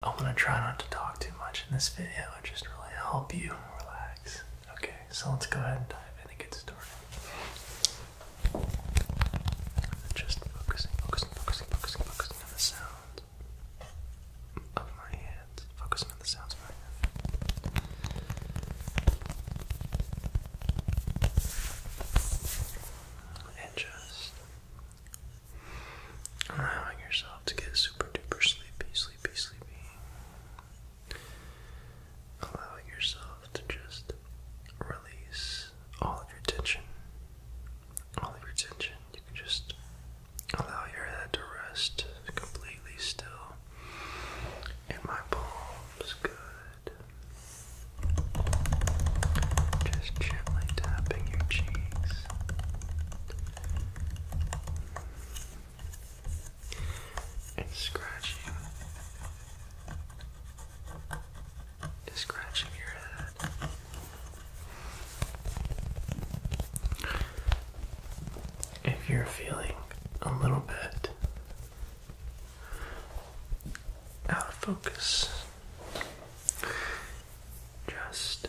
I want to try not to talk too much in this video and just really help you relax. Okay, so let's go ahead and dive in and get started. Just focusing, focusing, focusing, focusing, focusing on the sound of my hands. Focusing on the sounds of my hands. And just Allowing yourself to get super duper sleepy, sleepy, sleepy. Allowing yourself to just release all of your tension. All of your tension. You can just allow your head to rest completely still. And my palms good. Just gently tapping your cheeks and scratching scratching your head. If you're feeling a little bit out of focus, just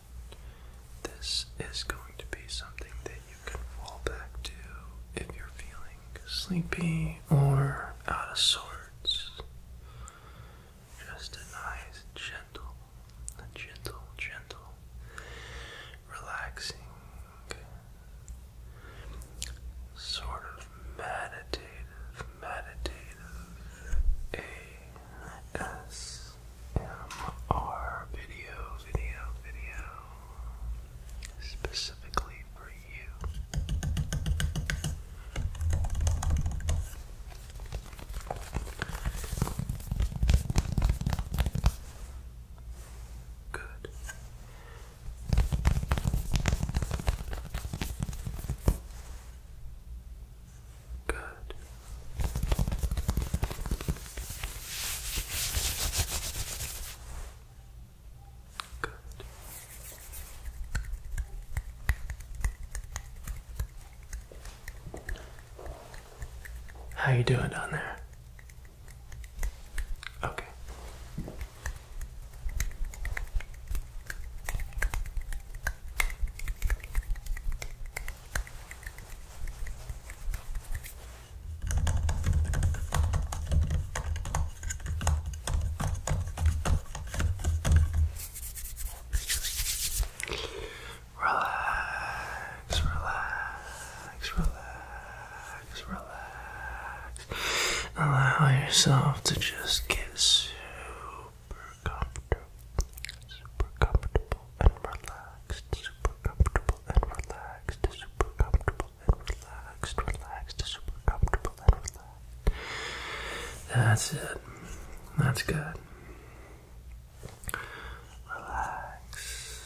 this is going to be something that you can fall back to if you're feeling sleepy or out of sorts. Just a nice, gentle, a gentle, gentle, relaxing, sort of meditative, meditative ASMR. ASMR video, video, video specifically for you. Good. Good. How you doing down there? Okay. Relax, relax, relax, relax. Allow yourself to just get super comfortable, super comfortable, and relaxed, super comfortable and relaxed, super comfortable and relaxed, relaxed, super comfortable and relaxed. That's it. That's good. Relax.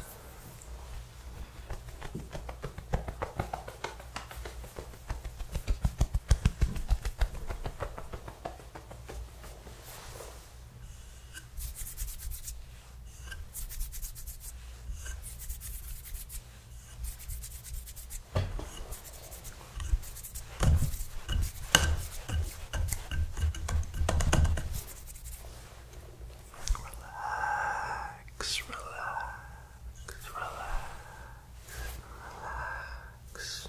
Relax, relax, relax, relax. Shh.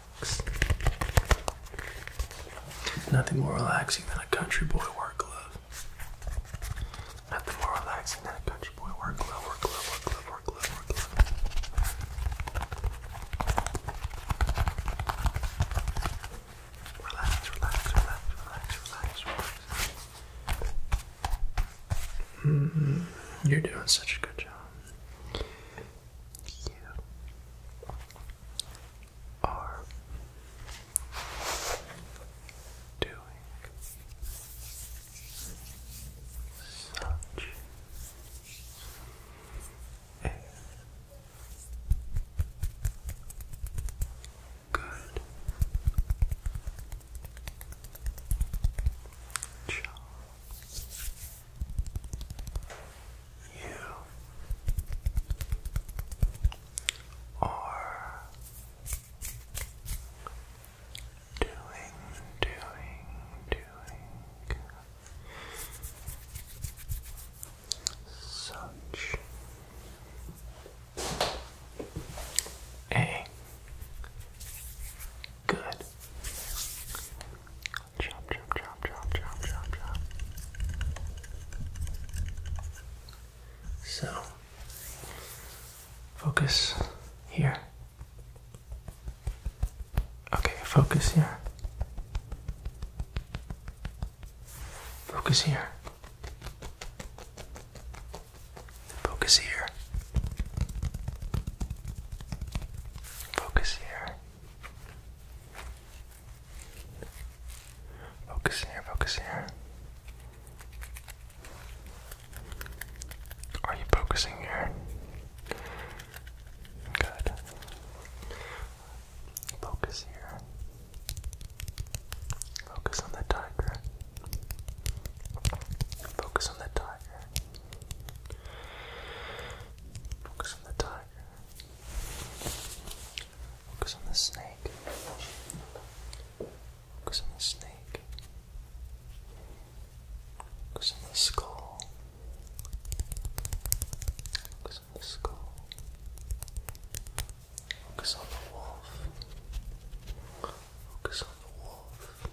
Nothing more relaxing than a country boy work glove. Nothing more relaxing than a country boy work glove, work glove, work glove, work glove, work glove. Relax, relax, relax, relax, relax, relax. Mm-hmm. You're doing such a good job you are doing such a good job. You are doing, doing, doing such a good Chop, chop, chop, chop, chop, chop, chop. So, focus here. Okay, focus here. Focus here. Focus here. Focus here. Focus here, focus here. Are you focusing here? Good. Focus here. Focus on the tiger. Focus on the tiger. Focus on the tiger. Focus on the snake. Focus on the snake. Focus on the skull. Focus on the skull. Focus on the wolf. Focus on the wolf.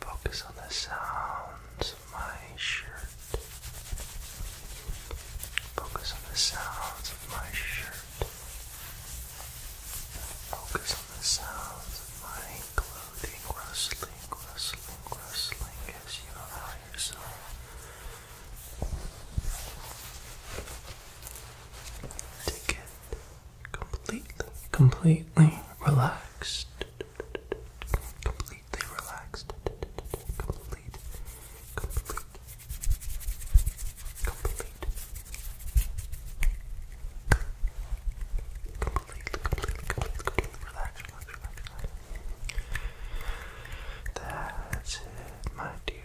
Focus on the sounds of my shirt. Focus on the sounds of my shirt. Focus on the sounds of my clothing rustling, rustling, rustling as you allow yourself to get completely, completely relaxed. Completely relaxed. Complete, Completely, completely, completely, completely relax, That's it, my dear,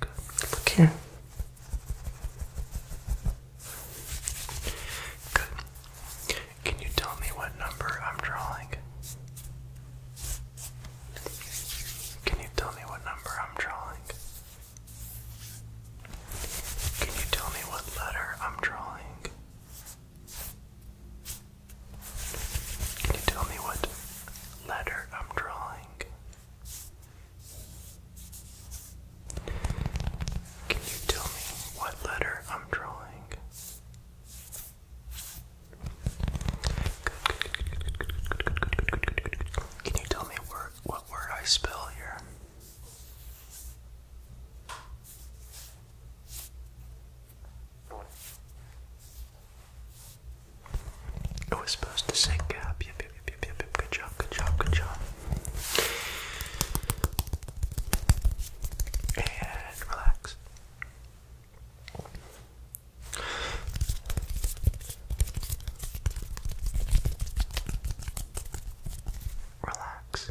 Good. Look here. Good. Can you tell me what number I'm drawing? Can you tell me what number I'm drawing? Can you tell me what letter I'm drawing? Can you tell me what letter I'm drawing? Can you tell me what letter I'm drawing? Can you tell me what word I spell here? It was supposed to sync Good job, good job, good job. And relax. Relax.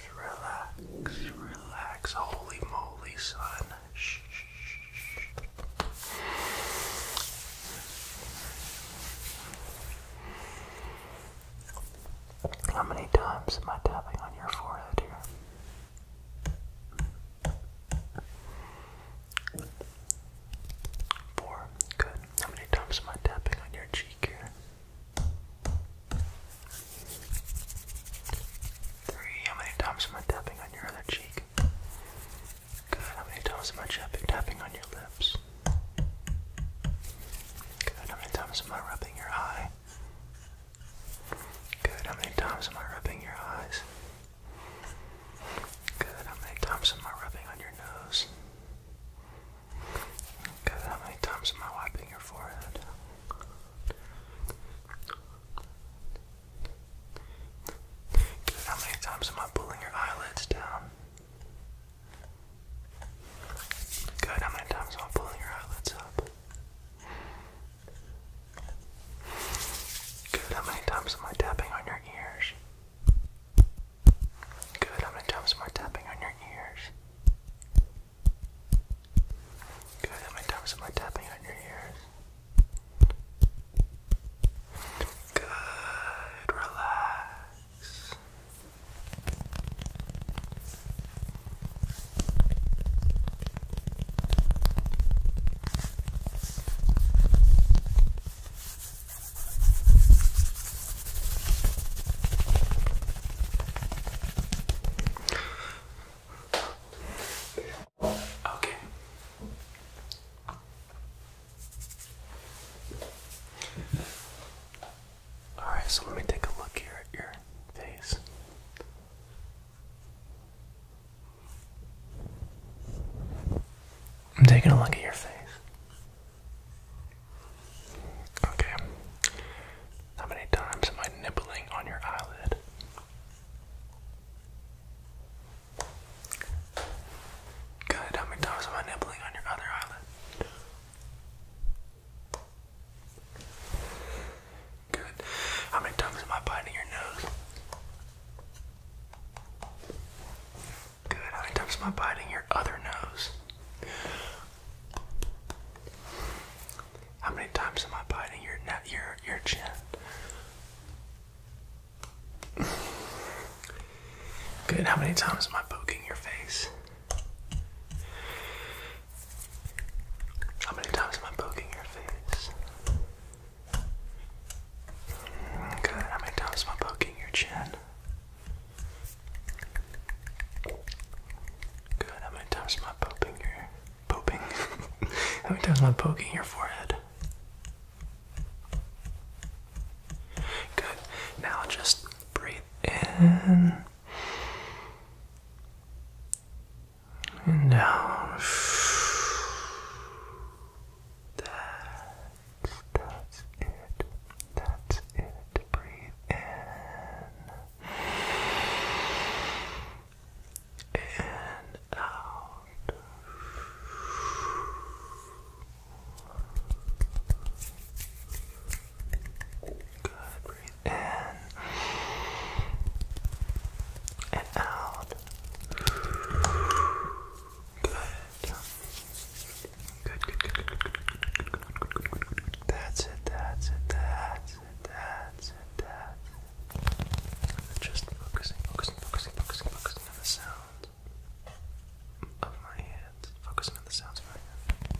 relax, relax. Holy moly, son. Shh, shh, shh. How many times am I tapping on your forehead here? Four. Good. How many times am I tapping on your cheek here? Three. How many times am I tapping on your other cheek? Good. How many times am I tapping on your lips? Good. How many times am I rubbing your eye? Good. How many times am I rubbing your eyes? Good. How many times am I rubbing on your nose? Good. How many times am I wiping your forehead? How many times am I pulling your eyelids down? Good, how many times am I pulling your eyelids up? Good, how many times am I tapping on your ears? Good, how many times am I tapping on your ears? Good, how many times am I tapping on your ears? Good, relax. Okay. Alright, so let me take a look here at your face. I'm taking a look at your face. Okay. How many times am I nibbling on your eyelid? Good, how many times am I nibbling on your other eyelid? Good. How many times am I biting your nose? Good. How many times am I biting your other nose? How many times am I biting your neck, your your chin? Good. How many times am I poking your face? How many times am I poking your face? Good. How many times am I poking your chin? Good. How many times am I poking your Pooping. How many times am I poking your forehead? Good. Now just breathe in and out. That's, that's it. That's it. Breathe in and out. Good, breathe in and out. Good. Good, good, good, good, good, good, good, good, That's it, that's it, that's that's it, that's it, Just focusing, focusing, focusing, focusing, on the sound of my hands. Focusing on the sounds of my hands.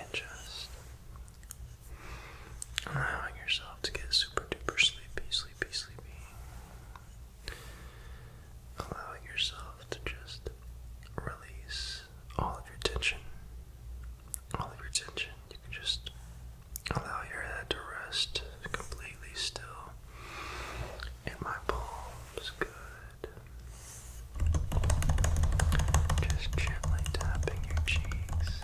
And just allowing yourself to get super duper sleepy, sleepy, sleepy allowing yourself to just release all of your tension. All of your tension. You can just allow your head to rest completely still. And my palms, good. Just gently tapping your cheeks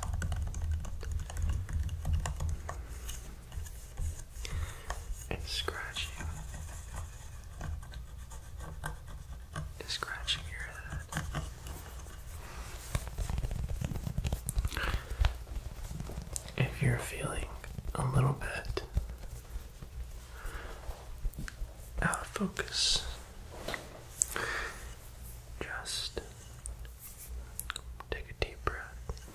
and scratching scratching your head. If you're feeling a little bit out of focus, just take a deep breath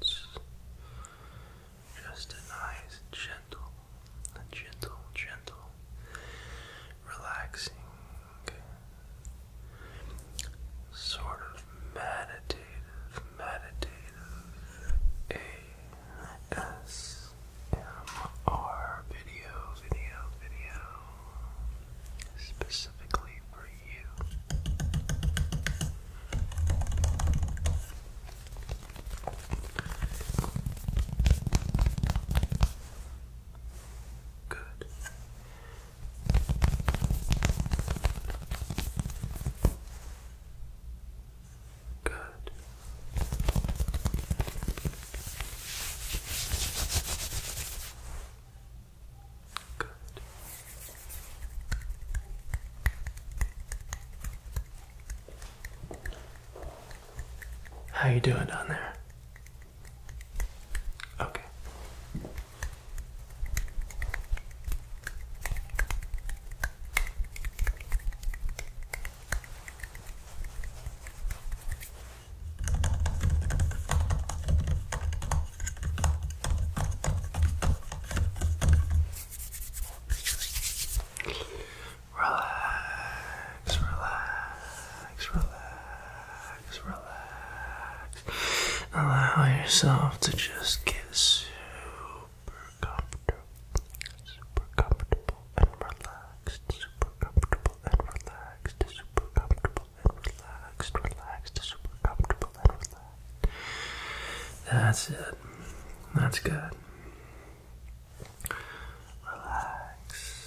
Just a nice, gentle, a gentle, gentle, relaxing, sort of meditative, meditative ASMR video, video, video, specifically for you. Good. Good. How you doing down there? Okay. Relax, relax, relax, relax. Allow yourself to just get super comfortable, super comfortable and relaxed, super comfortable and relaxed, super comfortable and relaxed, relaxed, super comfortable and relaxed. That's it. That's good. Relax.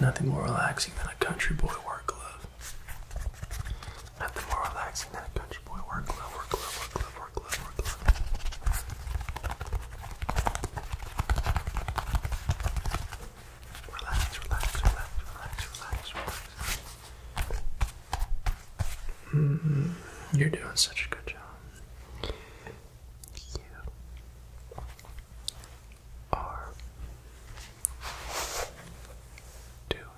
Nothing more relaxing than a country boy work glove. Nothing more relaxing than country boy work glove, work glove, work glove, work glove, work glove. Relax, relax, relax, relax, relax, relax. You're doing such a good job. You are doing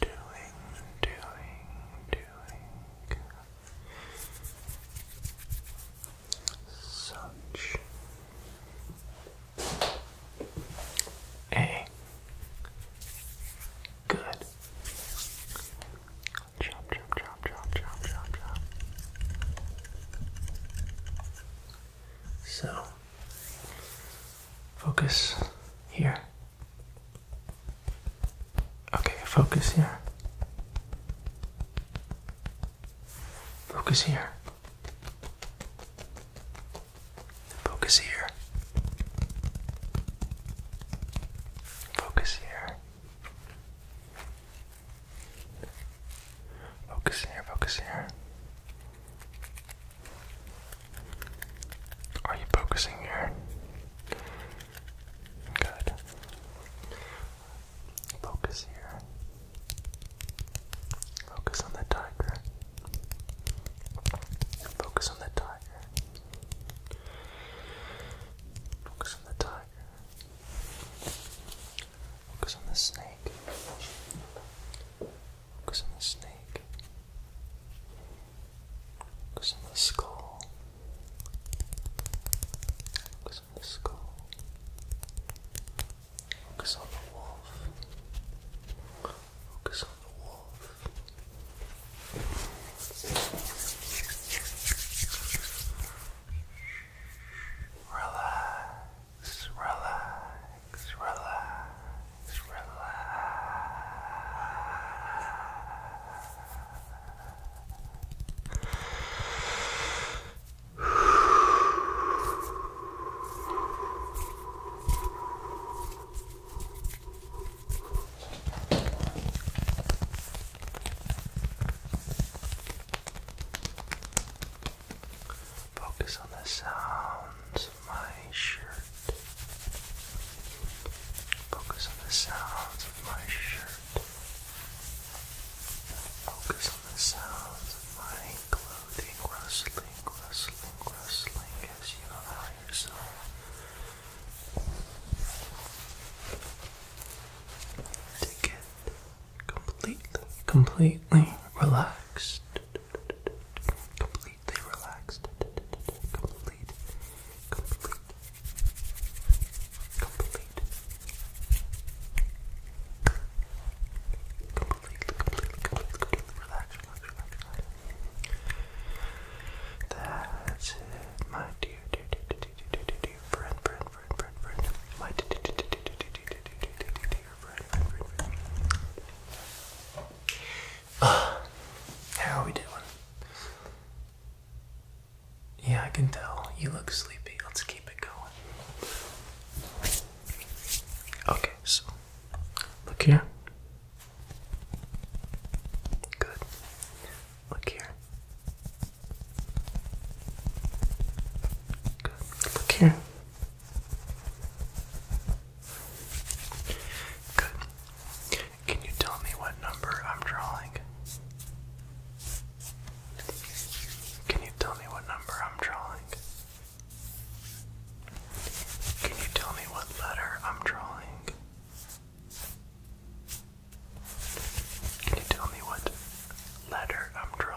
doing, doing, doing such a good chop, chop, chop, chop, chop, chop, chop. So, Focus here. Okay, focus here. Focus here. Focus here. Focus here. Focus here, focus here. Are you focusing here? Good. Focus here. Focus on the tiger. Focus on the tiger. Focus on the tiger. Focus on the snake. Focus on the snake. Focus on the skull. Focus on the skull. Focus on the wolf. Focus on the wolf. Relax relax, relax, relax. Focus on the sounds my shirt. Focus on the sounds of my shirt. Focus on the sounds of my clothing rustling, rustling, rustling as you allow yourself to get completely, completely relaxed completely relaxed, complete, complete, complete, completely, completely, relaxed, That's my dear, dear, dear, dear, dear, dear, dear, friend, friend, friend, friend, friend, my dear, dear, dear, dear, dear, dear, dear, dear, dear how are we doing? Yeah, I can tell. You look sleepy. Let's keep it going. Okay, so look here. Good. Look here. Good. Look here. Good. Can you tell me what number I'm drawing? Can you tell me what number I'm drawing? Can you tell me what letter I'm drawing? Can you tell me what letter I'm drawing?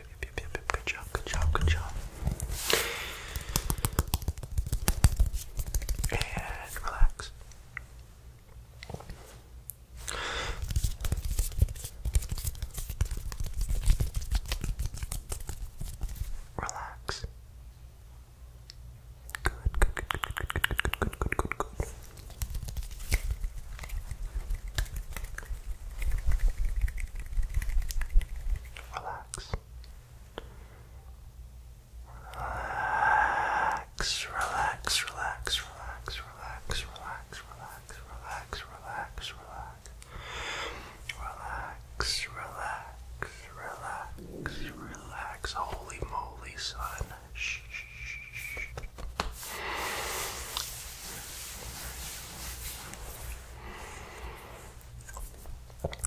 Good job, good job, good job. And relax. Relax. good, good, good, good, good, good, good, good, good, good, good. Relax. Relax, relax, relax, relax, relax, relax, relax, relax, relax, relax. Relax, relax, relax, Holy moly, son. Shh, shh, shh.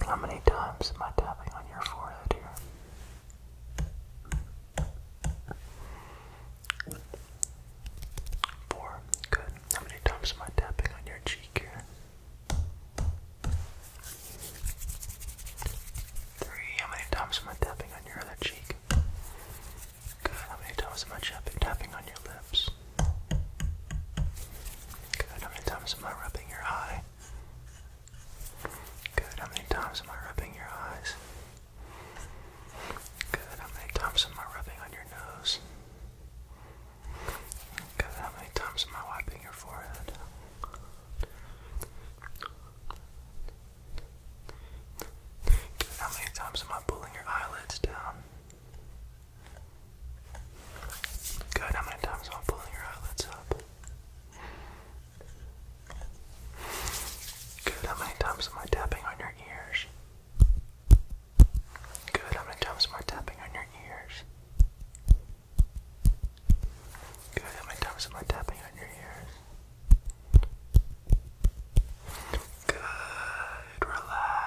How many times am I tapping on your forehead here? Four. Good. How many times am I tapping on your cheek here? Three. How many times am I tapping on your other cheek? Good. How many times am I tapping on your lips? Good. How many times am I rubbing your eye? Good. How many times am I rubbing your eyes? Good. How many times am I rubbing on your nose? Good. How many times am I wiping your forehead? Good. How many times am I pulling your eyelids down? Good, how many times am I pulling your eyelids up? Good, how many times am I tapping on your ears? Good, how many times am I tapping on your ears? Good, how many times am I tapping on your ears? Good, relax.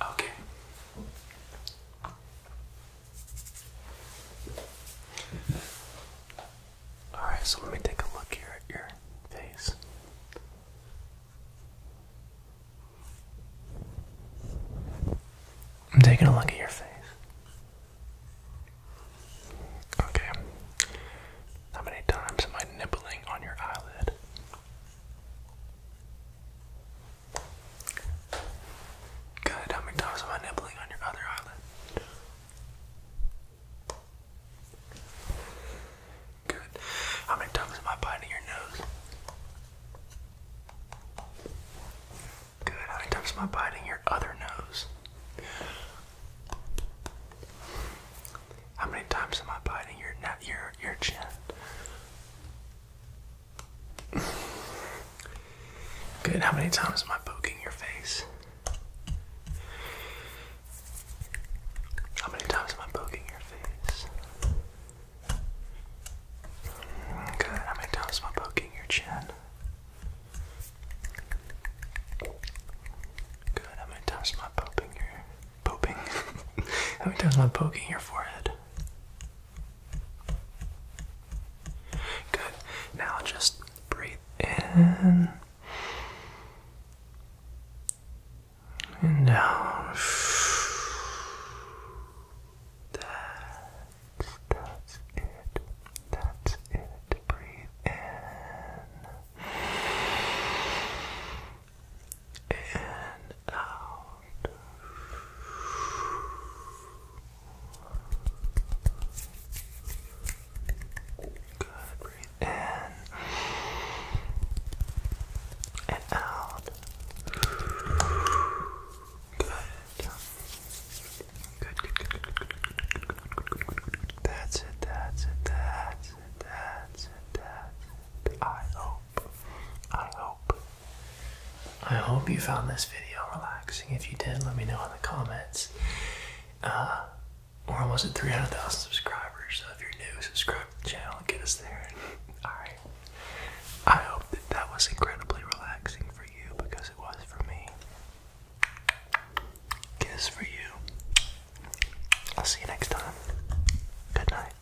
Okay. Alright, so let me take a look here at your face. I'm taking a look at your face. Okay. How many times am I nibbling on your eyelid? Good. How many times am I nibbling on your other eyelid? Good. How many times am I biting your nose? Good. How many times am I biting your other nose? How many times am I biting your your your chin? Good. How many times am I poking your face? How many times am I poking your face? Good. How many times am I poking your chin? Good. How many times am I poking your pooping? How many times am I poking your forehead? Good. Now just breathe in and out. That's, it. That's it. Breathe in and out. Good. Breathe in and out. Good. Good, good, good, good, good, good, good, good, good, good. That's it, that's it, that's it, that's it, that's it. I hope, I hope I hope you found this video relaxing. If you did, let me know in the comments. Uh, or we're almost 300,000 subscribers, so if you're new, subscribe to the channel and get us there. Alright. I hope that that was incredibly relaxing for you because it was for me. Kiss for you. I'll see you next time. Good night.